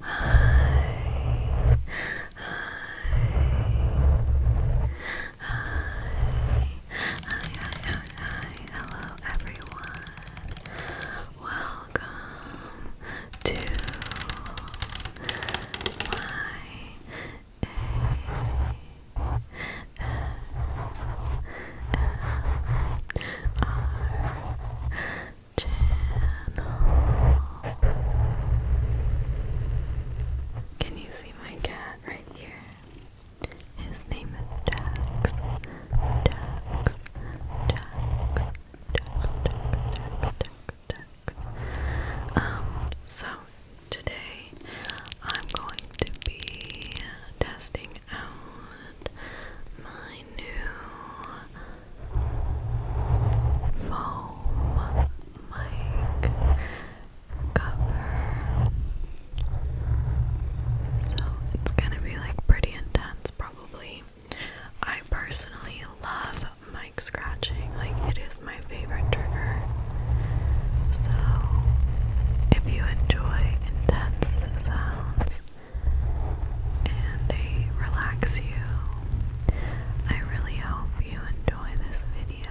Hi. Hi. Hi. Hi, hi, hi, hi, hello everyone. Welcome to my ASMR channel. Can you see my cat right here? His name is Jax. Jax. Jax. Jax. Jax. Jax. Jax. Um, so today I'm going to be testing out my new foam mic cover. So it's gonna be like pretty intense, probably. I personally love mic scratching, like, it is my favorite trigger. So, if you enjoy intense sounds, and they relax you. I really hope you enjoy this video.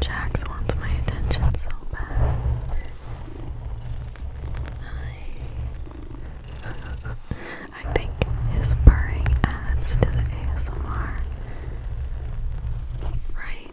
Jax wants my attention so bad. I think his purring adds to the ASMR. Right?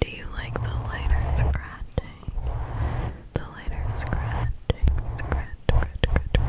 Do you like the lighter scratching? The lighter scratching, scratch, scratch, scratch,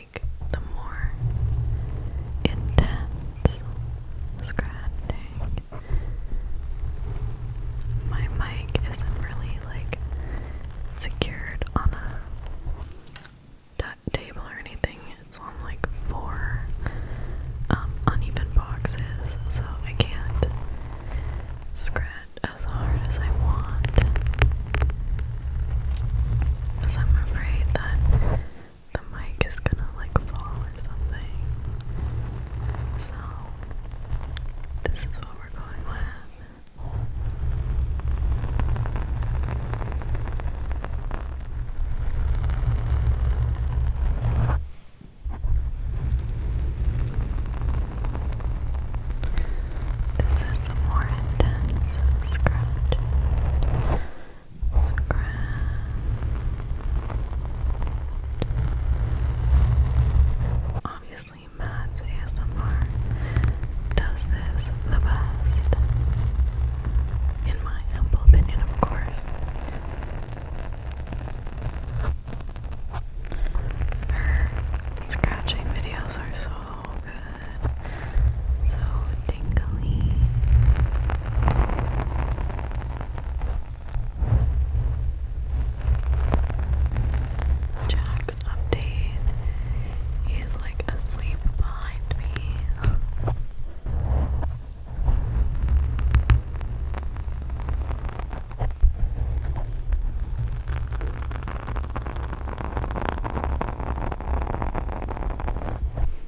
like the more intense scratching. My mic isn't really like secured on a table or anything. It's on like four um, uneven boxes, so I can't scratch as hard as I want. Because I'm afraid that the mic is gonna like fall or something. So, this is what we're going with. This is the more intense scratch. Scratch. Obviously, Matt's ASMR does this the best. In my humble opinion, of course. Her scratching videos are so good good. So tingly. Jack's update. He's like asleep behind me.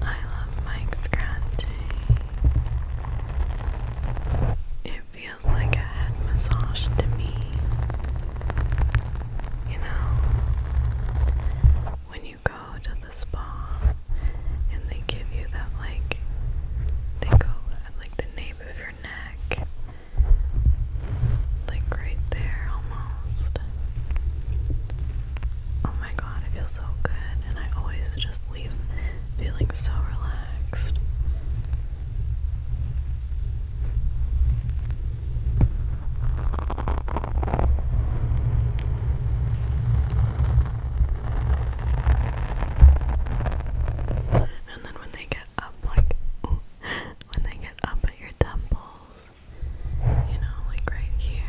I love mic scratching. It feels like a head massage to me. You know, when you go to the spa and they give you that, like, they go like the nape of your neck like right there almost. Oh my god, it feels so good, and I always just leave feeling so relaxed. And then when they get up, like, when they get up at your temples, you know, like right here.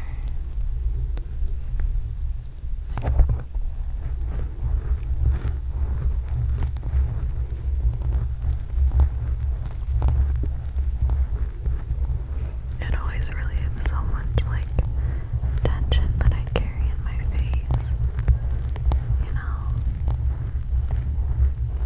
it always relieves so much like tension that I carry in my face. You know?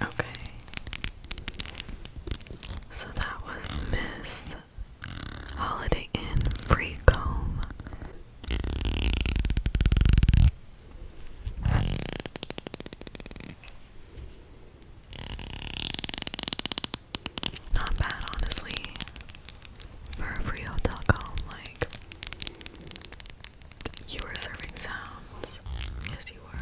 Okay. So that was Miss Holiday Inn free comb. Not bad, honestly, for a free hotel comb. Like, you were serving sounds. Yes, you were.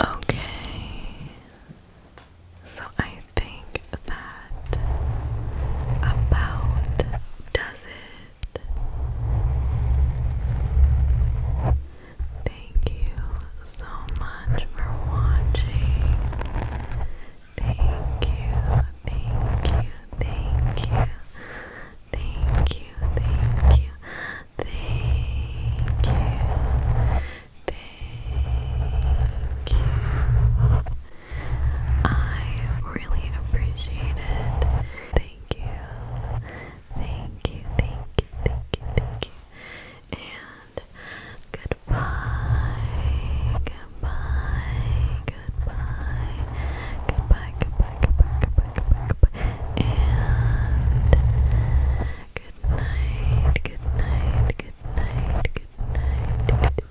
Okay, so I think that about does it. Thank you so much for watching. Thank you, thank you, thank you, thank you, thank you, thank you. Thank you. I really appreciate it. Thank you. Thank you, thank you, thank you, thank you. And goodbye. Goodbye. Goodbye. Goodbye. Goodbye. Goodbye. Goodbye. Goodbye. Goodbye. And good night. Good night. Good night. Good night. Good night.